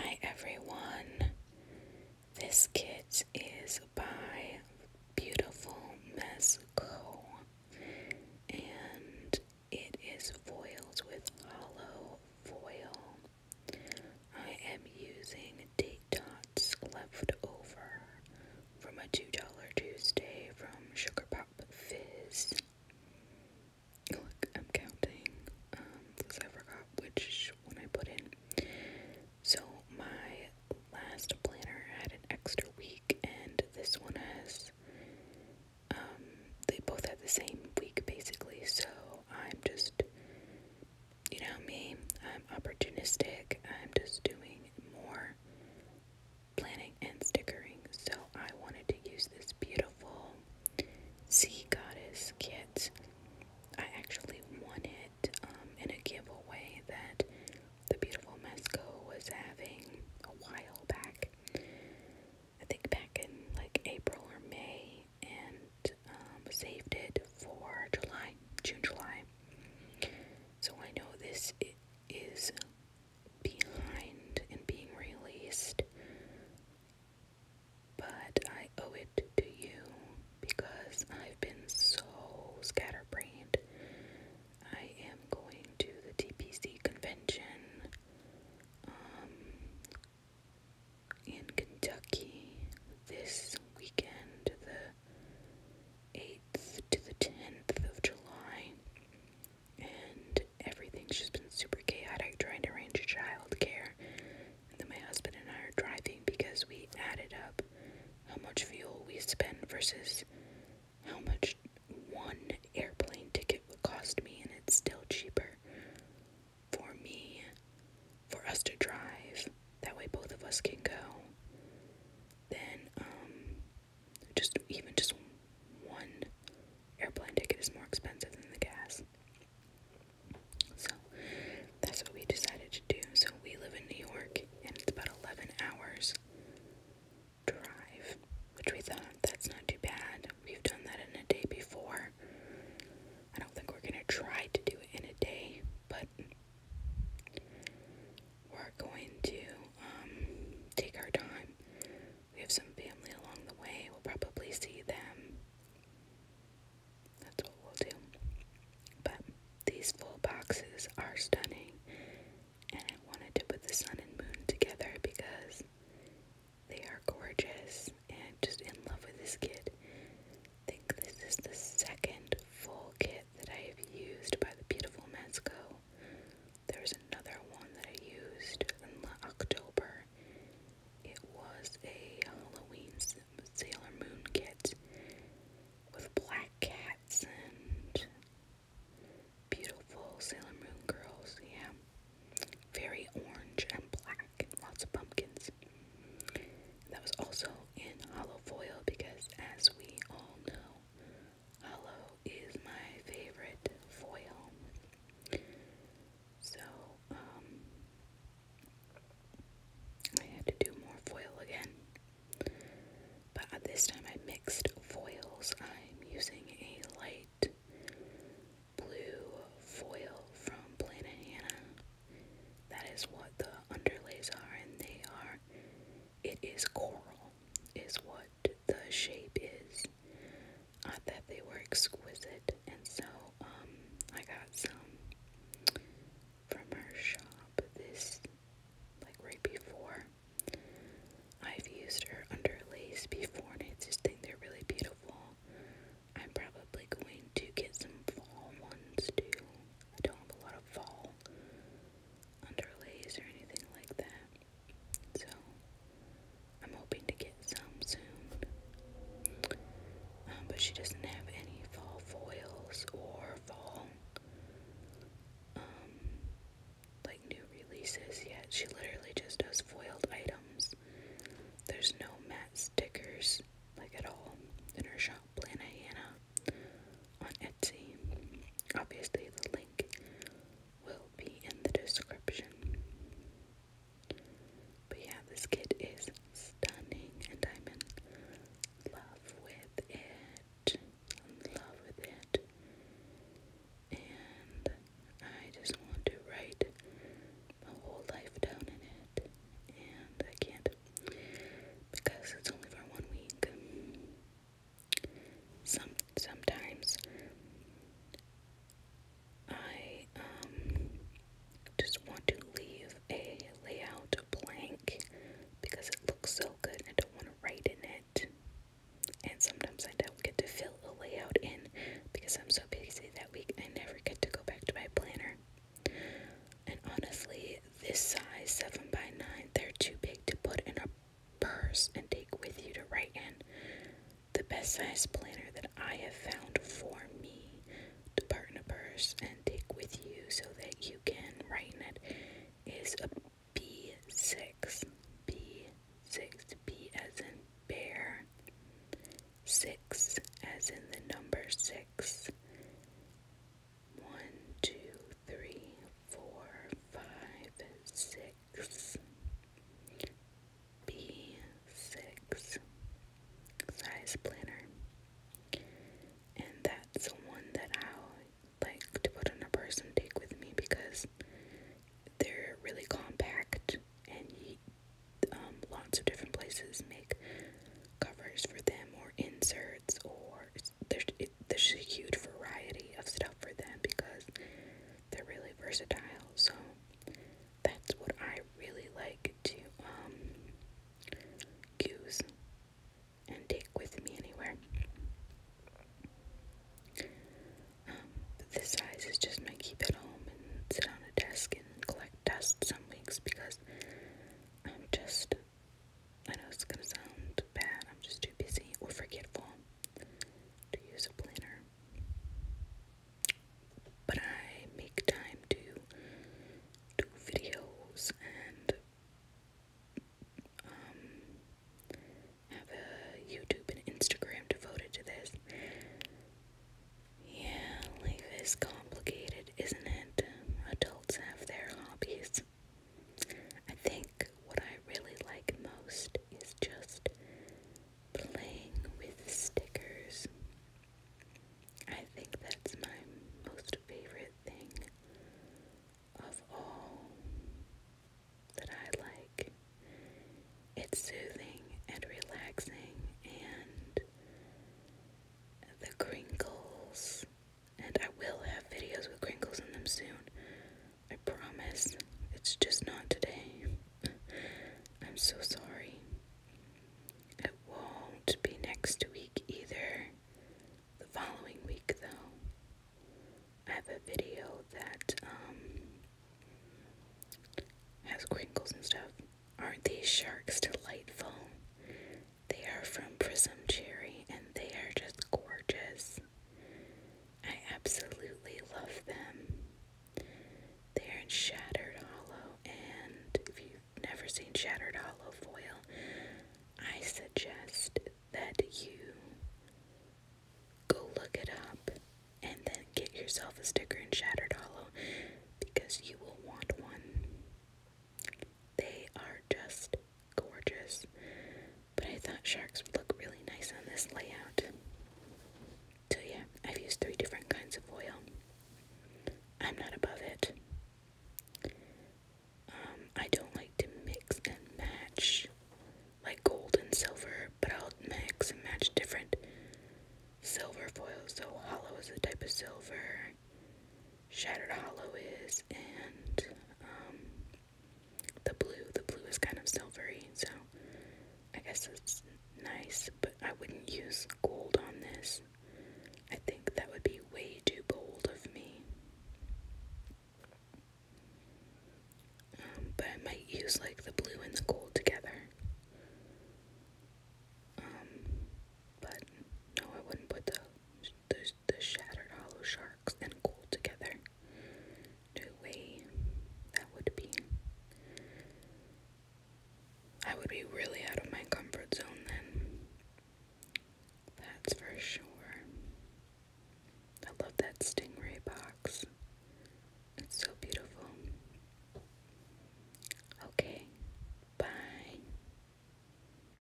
Hi everyone. This kit is by Beautiful Mess Co. and it is foiled with hollow foil. I am using date dots left over from a $2 Tuesday from Sugar Pop Fizz. Look, I'm counting um I forgot which one I put in. So my last planner had an extra week and this one has um they both had the same week basically, so I'm just you know me, I'm opportunistic, I'm just doing more planning and stickering, so I wanted to use this beautiful beautiful sea goddess kit. I actually won it um, in a giveaway that the beautiful Mesco was having a while back. I think back in like April or May, and um, saved it for July, June, July. So I know this is behind and being released but I owe it to you because I've been so scatterbrained. I am going to the TPC convention um, in Kentucky this weekend, the 8th to the 10th of July and everything's just been super chaotic trying to arrange childcare. And then my husband and I are driving because we added up how much fuel we spend versus how much one airplane ticket would cost me, and it's still cheaper for me for us to drive. That way, both of us can go. Then, um, just even just one airplane ticket is more expensive than the gas. So that's what we decided to do. So we live in New York and it's about 11 hours drive, which we thought that's not too bad. We've done that in a day before. I don't think we're going to try to do it in a day, but we're going to um, take our time. We have some family along the way. We'll probably see them. That's what we'll do. But these full boxes are stunning, and I wanted to put the sun and moon together because they are gorgeous and just in love with this kit. think this is the second full kit that I have used by the beautiful Mezco. There's another one that I used in October. It was a Halloween Sailor Moon kit with black cats and beautiful Sailor Moon girls. Yeah, very orange and black, lots of pumpkins. That was also in hollow foil because, as we all know, Hollow is my favorite foil. So, um, I had to do more foil again. But this time I mixed foils. I'm using a light blue foil from Planet Hannah. That is what the underlays are, and they are, it is coral, is what the shape is. I thought they were exquisite, and so um, I got some from her shop this like right before. I've used her underlays before, and it's just think they're really beautiful. I'm probably going to get some fall ones too. I don't have a lot of fall underlays or anything like that. So I'm hoping to get some soon. Um, but she doesn't have any fall foils or fall um, like new releases yet. She literally just does foiled items. There's no matte stickers like at all in her shop, Plana Hannah on Etsy. Obviously the link will be in the description. But yeah, this kit is stunning and I'm in love with it. In love with it. And I just want to write my whole life down in it. And I can't because it's only for one week. Some sometimes I um, just want to leave a layout blank because it looks so good and I don't want to write in it. And sometimes I don't get to fill a layout in because I'm so busy that week I never get to go back to my planner. And honestly, this size 7 by 9 they're too big to put in a purse and take with you to write in. The best size planner that I have found for me to put in a purse and take with you so that you can write in it is a B6. B6. B as in bear. 6 as in the number 6. 1, 2, 3, 4, 5, 6 six B six size planner. And that's one that I like to put on a purse and take with me because they're really compact and you, um, lots of different places make covers for them or inserts or there's, it, there's a huge variety of stuff up for them because they're really versatile. So that's what I really like to um, use and take with me anywhere. Um, this size is just my keep at home and sit on a desk and collect dust some weeks because I'm just I know it's gonna sound bad, I'm just too busy or forgetful to use a planner. But I make time to do videos and um, have a YouTube and Instagram devoted to this. Yeah, life is complicated, isn't it? Adults have their hobbies. I think what I really like most is just playing with stickers. I think that's my most favorite thing of all that I like. It's soothing and relaxing, and the crinkles and I will have videos with crinkles in them soon. I promise. It's just not today. I'm so sorry. It won't be next week either. The following week, though, I have a video that um, has crinkles and stuff. Aren't these sharks delightful? They are from Prism Cherry and they are just gorgeous. I absolutely love them. They're in Shattered Hollow, and if you've never seen Shattered Hollow foil, I suggest that you go look it up and then get yourself a sticker in Shattered Hollow because you will want one. They are just gorgeous, but I thought sharks would look really nice on this layout. So, yeah, I've used three different kinds of oil. I'm not above it. Um, I don't like to mix and match like gold and silver, but I'll mix and match different silver foils. So, hollow is a type of silver, Shattered Hollow is, and um, the blue. The blue is kind of silvery, so I guess it's nice, but I wouldn't use gold on this. I think that would be way too bold of me. Um, but I might use like the blue and the gold together. Um, but no, I wouldn't put the the, the shattered hollow sharks and cool together. No way that would be. I would be really out of my comfort zone then. That's for sure. I love that stingray box. It's so beautiful. Okay, bye.